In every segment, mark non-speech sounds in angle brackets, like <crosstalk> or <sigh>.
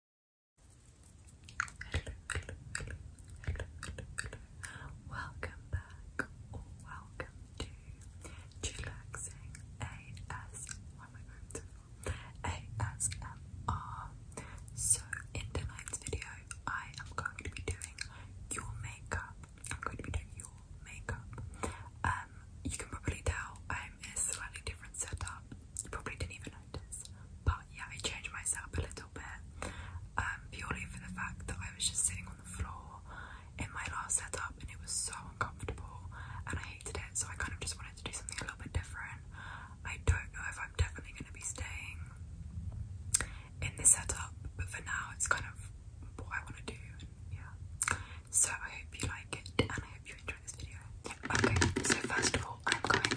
Hello, hello, hello, hello, hello, hello. Welcome back welcome to Chillaxing AS why am going to ASMR. So in tonight's video I am going to be doing your makeup. I'm going to be doing your makeup. Um you can probably tell I'm in a slightly different setup you probably didn't even notice. But yeah, I changed my setup a little bit um, purely for the fact that I was just sitting on the floor in my last setup and it was so uncomfortable and I hated it. So I kind of just wanted to do something a little bit different. I don't know if I'm definitely going to be staying in this setup, but for now it's kind of what I want to do. And yeah. So I hope you like it and I hope you enjoy this video. Okay, so first of all, I'm going to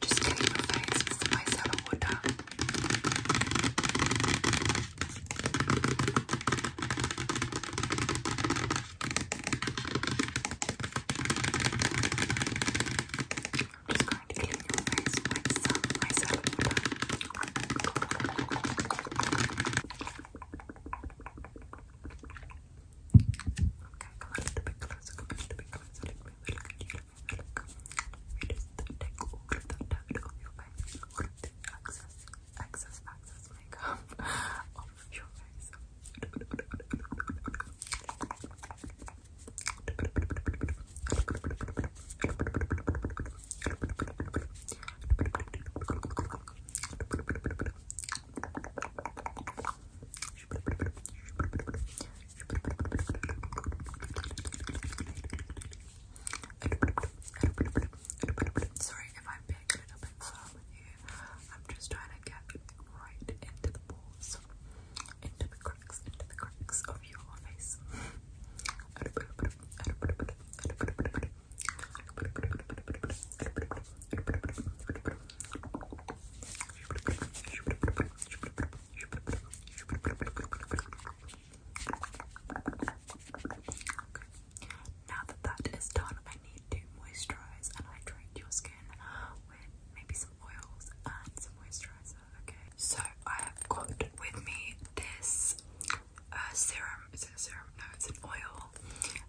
just clean your face with micellar water. i just clean your face with some water. Okay, come on, a little bit closer, come on, a little bit closer. Look at me, look at you, look at me, look. We just take all of that dirt off your face, all of the excess, excess, excess makeup off of your face. Sorry if I'm being you. I'm just trying to get right into the balls, into the cracks, into the cracks of your face. Now that that is done, I need to moisturize and hydrate your skin with maybe some oils and some moisturizer. Okay, so I have got with me this uh, serum. Is it a serum? No, it's an oil.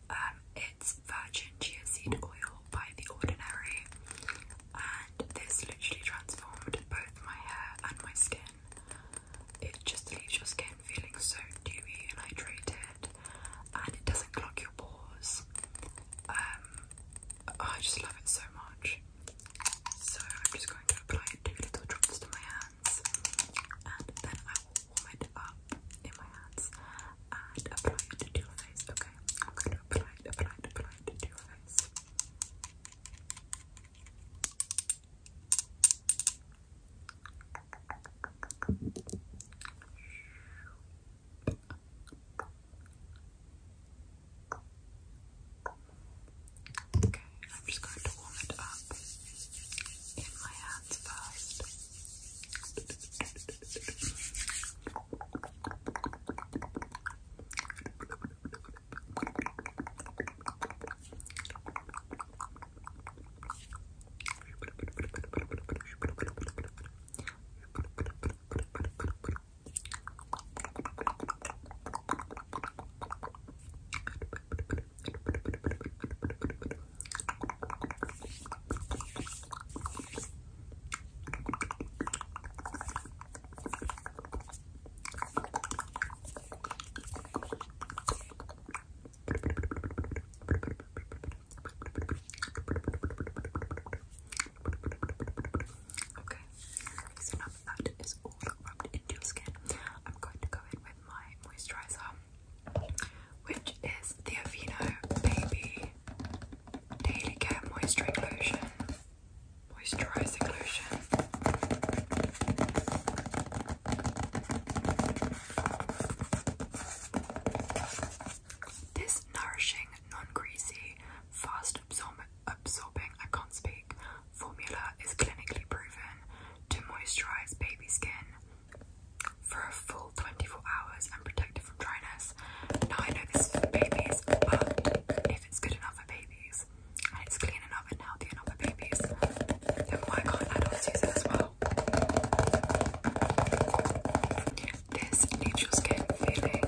Um, it's virgin chia seed oil by The Ordinary, and this literally transformed both my hair and my skin. It just leaves your skin feeling so dewy and hydrated, and it doesn't clog your pores. Um, oh, I just love it so much. So I'm just going to apply two little drops to my hands, and then I will warm it up in my hands and apply it to your face, okay? I'm going to apply apply apply it to your face. Okay, I'm just going to warm it up in my hand hands first. Okay, so now that is all rubbed into your skin, I'm going to go in with my moisturizer which is the Aveeno Baby Daily Care Moisturizing Lotion. This nourishing, non-greasy, fast absorb absorbing, I can't speak, formula is clinically proven to moisturize baby skin, for a full 24 hours and protect it from dryness. Now I know this is for babies, but if it's good enough for babies and it's clean enough and healthy enough for babies, then why can't adults use it as well? This leaves skin feeling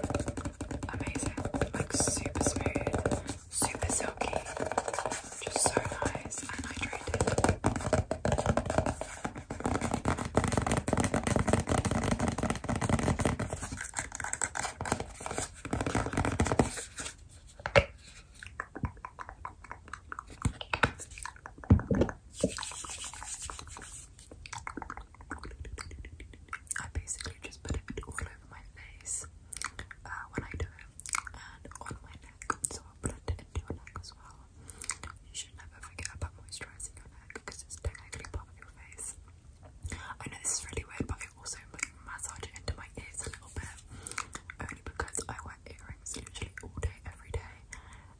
amazing, like super smooth, super silky, just so nice and hydrated. I basically just put it all over my face uh, when I do it and on my neck, so I'll blend it into your neck as well. You should never forget about moisturising your neck because it's technically part of your face. I know this is really weird, but I also massage it into my ears a little bit only because I wear earrings literally all day, every day,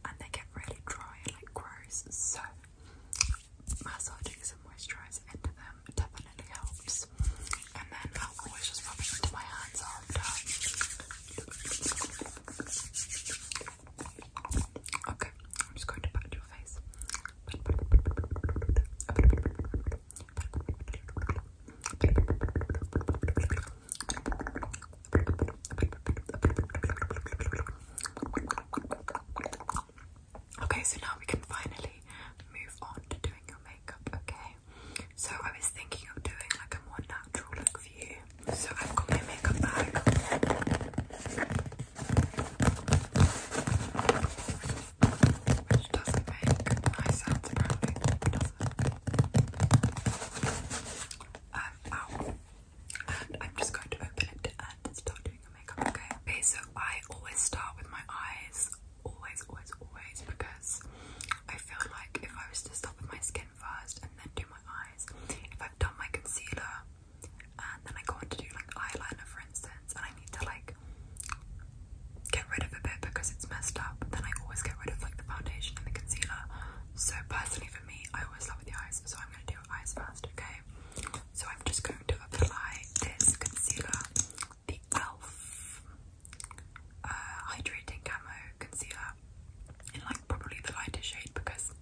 and they get really dry and like gross. So, massaging some moisturiser into them definitely helps. And then I'll uh, always just rub it into my hands after. Okay, I'm just going to pat your face. Okay, so now we can finally move on to doing your makeup, okay? So I was thinking of doing like a more natural look for you so I've got my makeup bag. Which does nice sounds apparently, Um, oh. And I'm just going to open it and start doing the makeup, okay? so I always start with my eyes. Always, always, always, because I feel like if I was to stop with my skin, foundation first and then do my eyes. If I've done my concealer and then I go on to do like eyeliner for instance and I need to like get rid of a bit because it's messed up, then I always get rid of like the foundation and the concealer. So personally for me, I always love with the eyes, so I'm gonna do eyes first, okay? So I'm just going to apply this concealer, the e.l.f. Uh, hydrating camo concealer in like probably the lightest shade because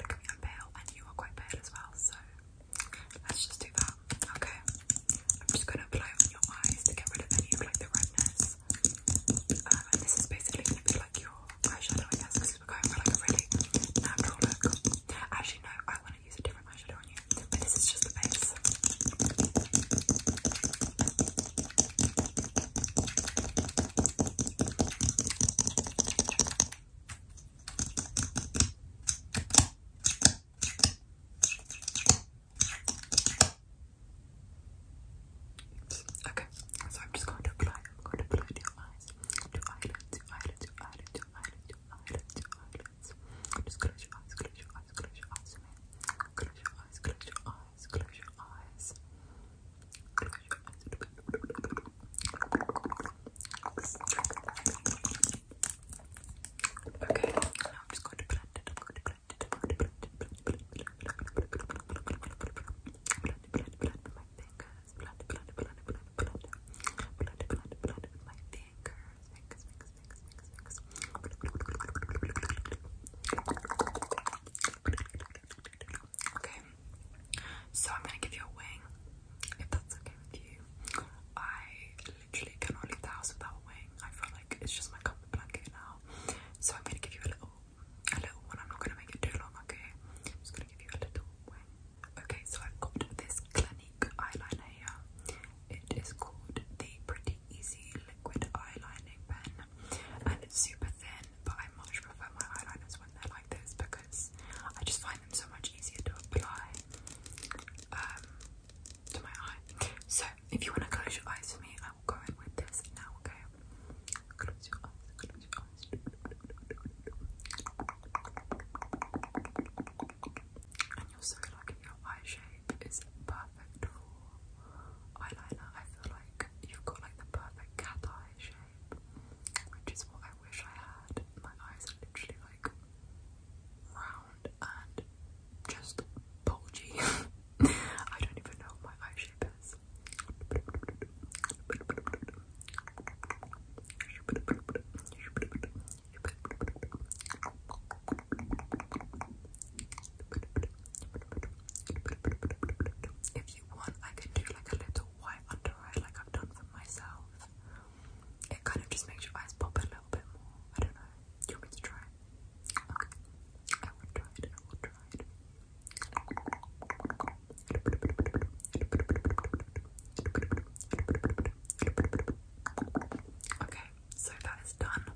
look at I'm pale and you are quite pale as well, so let's just do that. Okay, I'm just gonna apply on your eyes to get rid of any of like the redness. Um, and this is basically gonna be like your eyeshadow, I guess, because we're going for like a really natural look. Actually, no, I want to use a different eyeshadow on you, this is just the base. Okay, so I'm just going to apply, I'm going to apply to your eyes, to eyelids, to eyelids, to eyelids, to eyelids, to eyelids, to eyelids. Just close your close your eyes, close your eyes, close your eyes, close your eyes, close your eyes eyes, close your eyes. Okay, now I'm just going to blend it. I'm going to blend it. blend my fingers. Blend, my fingers, Okay, so I'm gonna give you a wing, if that's okay with you. I literally cannot leave the house without a wing. I feel like it's just my comfort blanket now. So I'm gonna give you a little, a little one. I'm not gonna make it too long, okay? I'm just gonna give you a little wing. Okay, so I've got this Clinique eyeliner It is called the Pretty Easy Liquid Eyelining Pen, and it's super thin, but I much prefer my eyeliners when they're like this because I just find them so much easier to apply um, to my eye. So, if you want to close your eyes for me, I will go in with this now, okay? Close your eyes, close your eyes. And you'll so look at your eye shape is perfect for eyeliner. I feel like you've got like the perfect cat eye shape, which is what I wish I had. My eyes are literally like round and just bulgy. <laughs> I don't even know my eye shape is. If you want, I can do like a little white under eye, like I've done for myself. It kind of just makes your eyes pop a little bit more. I don't know. you want me to try? Okay, so that is done.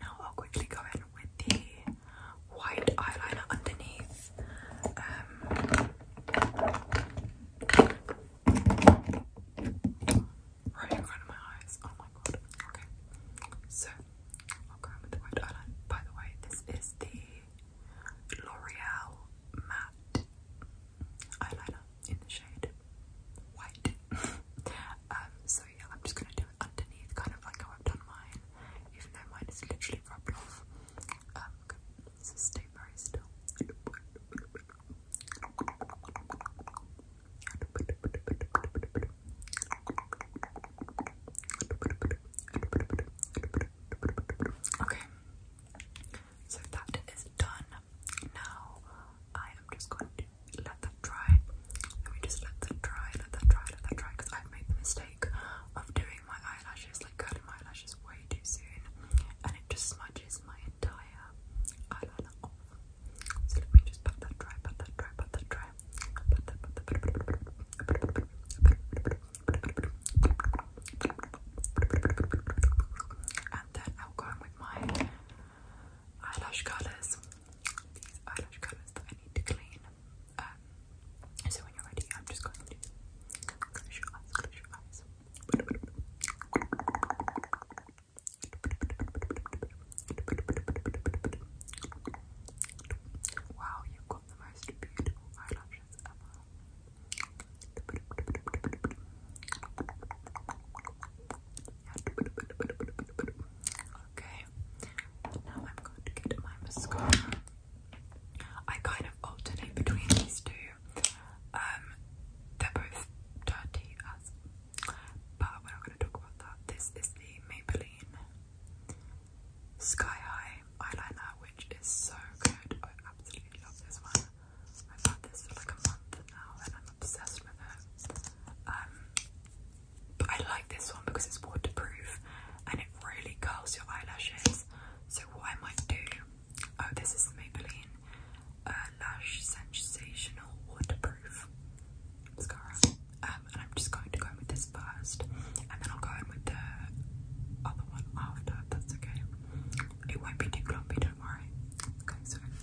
Now I'll quickly go in with the white eyeliner underneath. Um, right in front of my eyes. Oh my god. Okay. So I'll go in with the white eyeliner. By the way, this is the L'Oreal matte eyeliner in the shade white. <laughs> um, so I'm just gonna do it underneath, kind of like how I've done mine, even though mine is literally rubbed off. Um, so stay very still. Okay, so that is done. Now I am just going to let that dry. Let me just let that dry, let that dry, let that dry, because I've made the mistake of doing my eyelashes, like curling my eyelashes way too soon, and it just smudges my entire eyeliner off. So let me just pat that dry, pat that dry, pat that dry, and then I'll go with my eyelash colours these eyelash colours that I need to clean. Um, so when you're ready, I'm just going to close your eyes, Wow, you've got the most beautiful eyelashes ever. Okay, now I'm going to get my mascara. I kind of alternate between these two. Um, they're both dirty as, but we're not going to talk about that. This is the Maybelline Sky High eyeliner, which is so good. I absolutely love this one. I've had this for like a month now, and I I'm obsessed with it. Um, but I like this one because it's waterproof and it really curls your eyelashes. So what I might do, oh this is the Maybelline uh, Lash Sensational Waterproof Mascara. Um, and I'm just going to go in with this first and then I'll go in with the other one after, that's okay. It won't be too clumpy, don't worry. Okay, so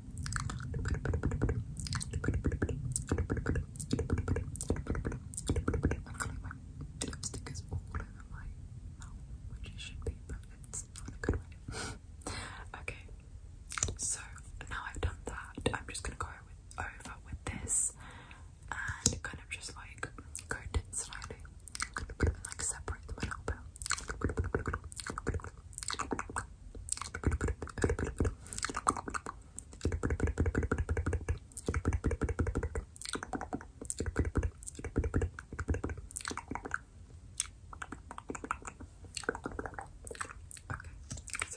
feeling my okay, so now I've done that, I'm just gonna go over with this and kind of just like coat it slightly and like separate them a little bit so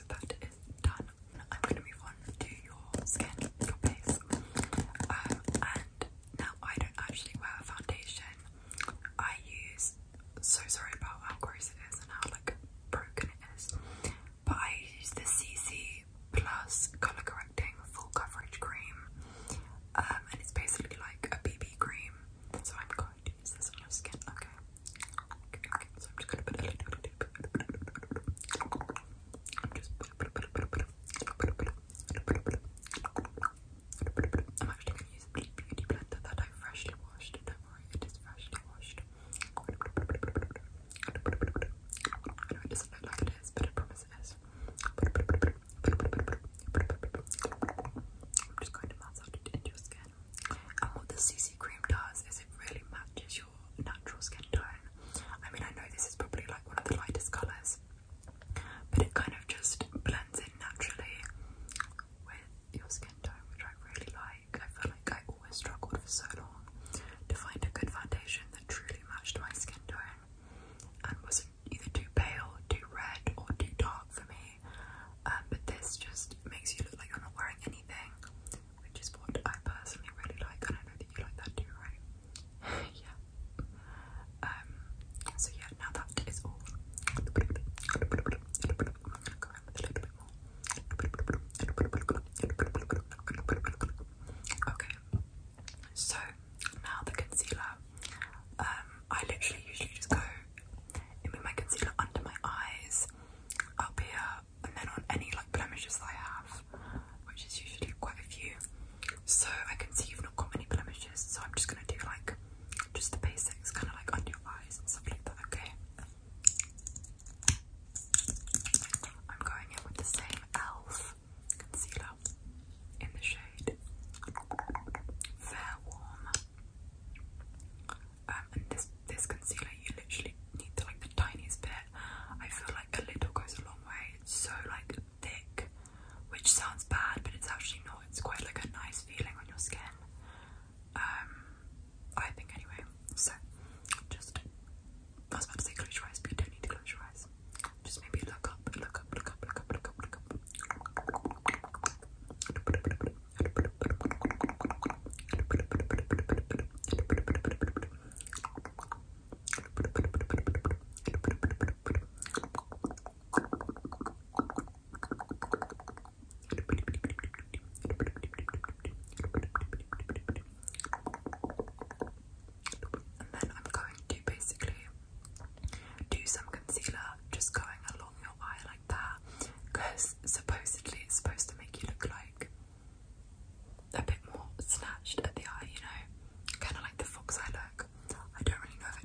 that is done. I'm going to move on to your skin, your face. Um, and now I don't actually wear foundation. I use so sorry about how gross it is and how like broken it is. But I use the CC Plus Color Correcting Full Coverage Cream, and it's basically like a BB cream. So I'm going to use this on my skin. Okay. I'm actually going to use a Bleak Beauty blender that I freshly washed. Don't worry, it is freshly washed. is. I'm just going to massage it into your skin. And what the CC cream does is it really matches your natural skin tone. I mean, I know this is probably like one of the lightest colours, but it kind of just blends in naturally with your skin tone, which I really like. I feel like I always struggled for so long to find a good foundation that truly matched my skin tone and wasn't either too pale, too red, or too dark for me. Um, but this just makes you look like you're not wearing anything, which is what I personally really like. And I know that you like that too, right? <laughs> yeah. Um, so yeah, now that is all. Okay, so now the concealer. Um, I literally usually just go in with my concealer under my eyes, up here, and then on any like blemishes that I have, which is usually quite a few. So I can see you've not got many blemishes, so I'm just gonna do like just the basics, kind of like under your eyes and stuff like that, okay? I'm going in with the same e.l.f. concealer in the shade Fair Warm. Um, and this this concealer, you literally need like the tiniest bit. I feel like a little goes a long way. It's so like thick which sounds bad, but it's actually not. It's quite like a nice feeling on your skin. Um, I think anyway. So, just I was about to say close your eyes, but you don't need to close your eyes. Just maybe look up, look up, look up, look up, look up, look up. And then I'm going to basically do some concealer just going along your eye like that because supposedly it's supposed to make you look like a bit more snatched at the eye, you know, kind of like the fox eye look. I don't really know if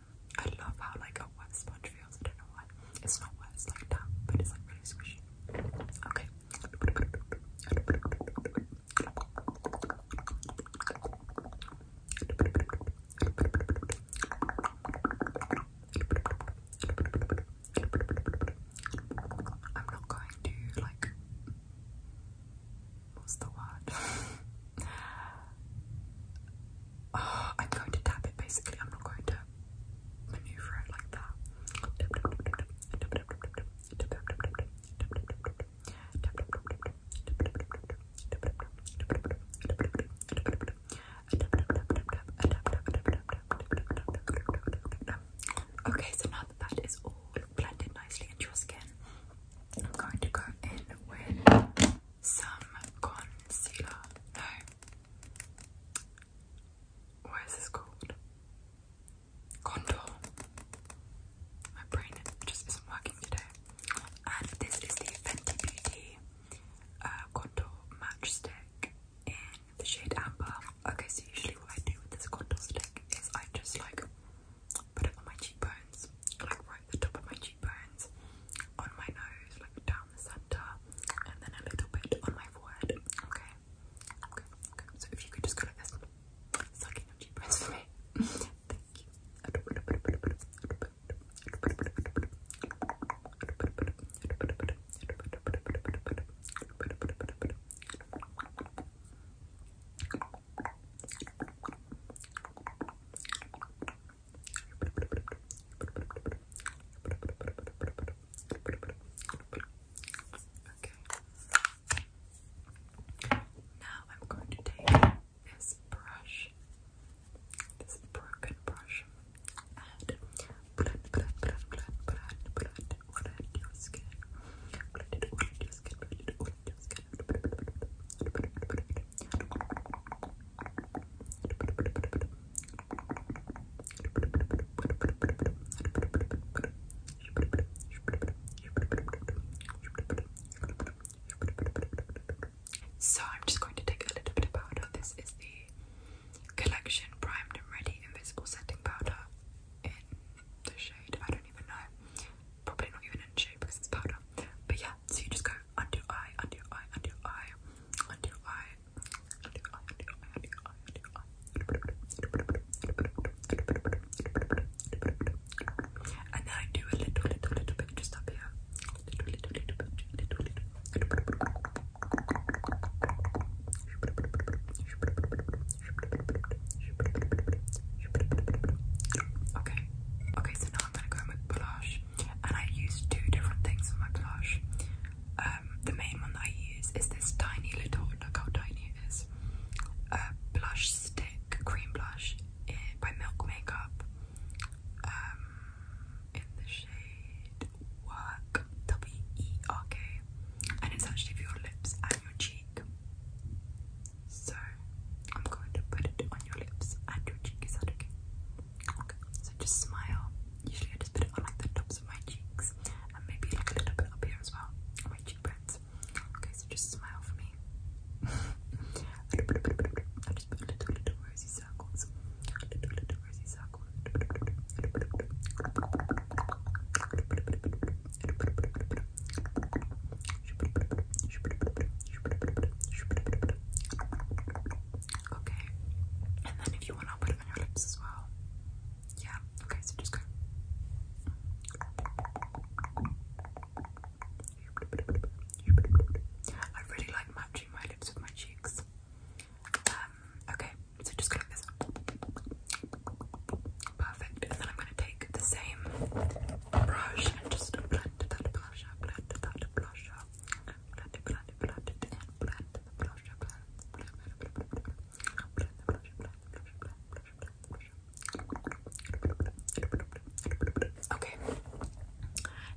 I love how like a wet sponge feels. I don't know why. It's not wet, it's like damp, but it's like really squishy. Okay. I'm not going to like what's the word? <laughs> I'm going to tap it basically. I'm not going to maneuver it like that. Okay, so now that that is all blended nicely into your skin, I'm going to go in with some concealer. No. What is this called? Contour. My brain just isn't working today. And this is the Fenty Beauty uh, Contour Matchstick in the shade Amber. Okay, so usually what I do with this contour stick is I just like put it on my cheekbones, like right at the top of my cheekbones cheekbones, on my nose, like down the center, and then a little bit on my forehead. Okay, okay, okay. So if you could just go like this, sucking up cheekbones for me. Thank you. Okay. Now I'm going to take this brush, this broken brush, and so I'm just going to take a little bit of powder. This is the collection primed and ready invisible setting powder in the shade I don't even know probably not even an issue because it's powder. But yeah, so you just go under eye, under eye, under eye, under eye, under eye, under eye, under eye, under eye. And then I do a little, little, little bit just up here. Okay, okay, so now I'm gonna go in blush, and I use two different things for my blush. Um, the main one that I use is this tiny little, look how tiny it is, uh, blush stick, cream blush eh, by Milk Makeup um, in the shade Work, W E R K, and it's actually for your lips and your cheek. So I'm going to put it on your lips and your cheek. okay? Okay. So just smile. Usually I just put it on like the tops of my cheeks and maybe a little bit up here as well my cheekbones. Okay, so just smile for me. <laughs> <laughs> Okay. And then if you want, I'll put it on your lips as well. Yeah. Okay, so just go. I really like matching my lips with my cheeks. Um, okay, so just go like this. Perfect. And then I'm going to take the same Okay.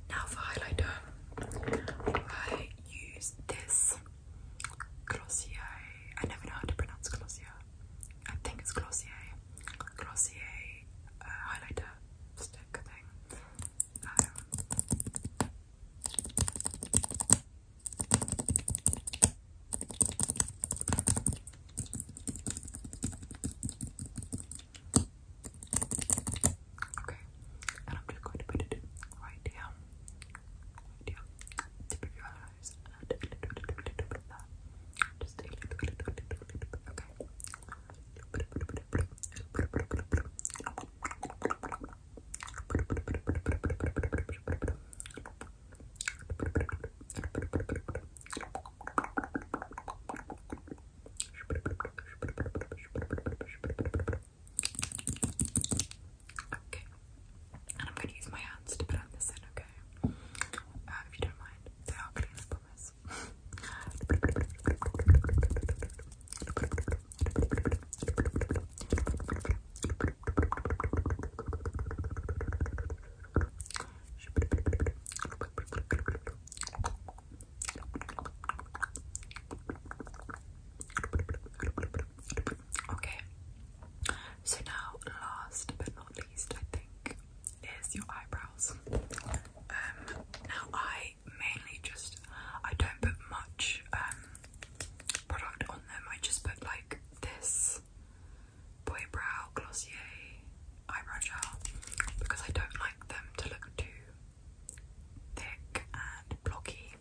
Now for highlighter, I use this Glossier. I never know how to pronounce Glossier. I think it's Glossier. Glossier uh, highlighter stick thing. Um, okay, and I'm just going to put it right here, right here, tip of your eyes, and a little, little, little bit of that, Okay. And I'm going to use my hands to put on this in, okay? okay? Uh, if you don't mind, they are clean, I promise. Okay, so now, last but not least, I think is your eyebrows. Um, now I mainly just I don't put much um, product on them. I just put like this Boy Brow Glossier eyebrow gel because I don't like them to look too thick and blocky.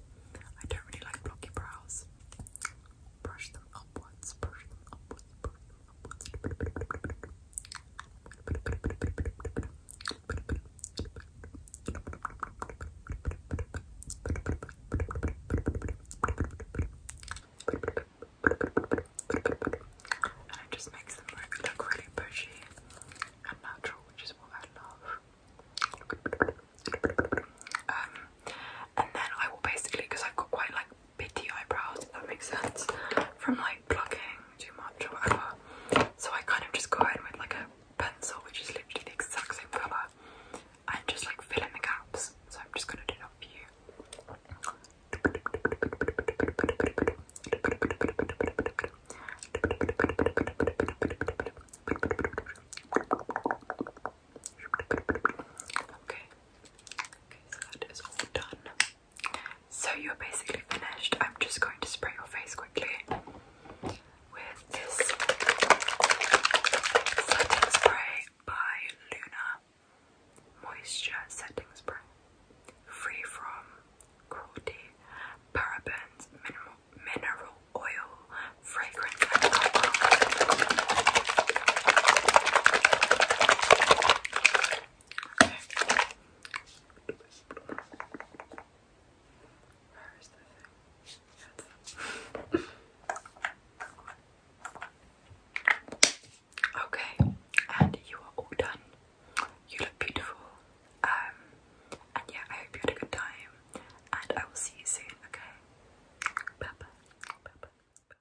I don't really like blocky brows. Brush them upwards, brush them upwards, brush and it just makes them look really bushy and natural, which is what I love. Um, and then I will basically, because I've got quite like bitty eyebrows, if that makes sense, from like plucking too much or whatever. So I kind of just go ahead with like a pencil, which is literally the exact same colour, and just like fill in the gaps. So I'm just gonna do that for you. Okay, so you're basically finished. I'm just going to spray your face quickly with this setting spray by Luna Moisture Setting Spray. Free from cruelty, parabens, minimal, mineral oil, fragrance, okay, and you are all done. You look beautiful. Um, and yeah, I hope you had a good time. And I will see you soon, okay? Bye bye. Bye bye. bye, -bye.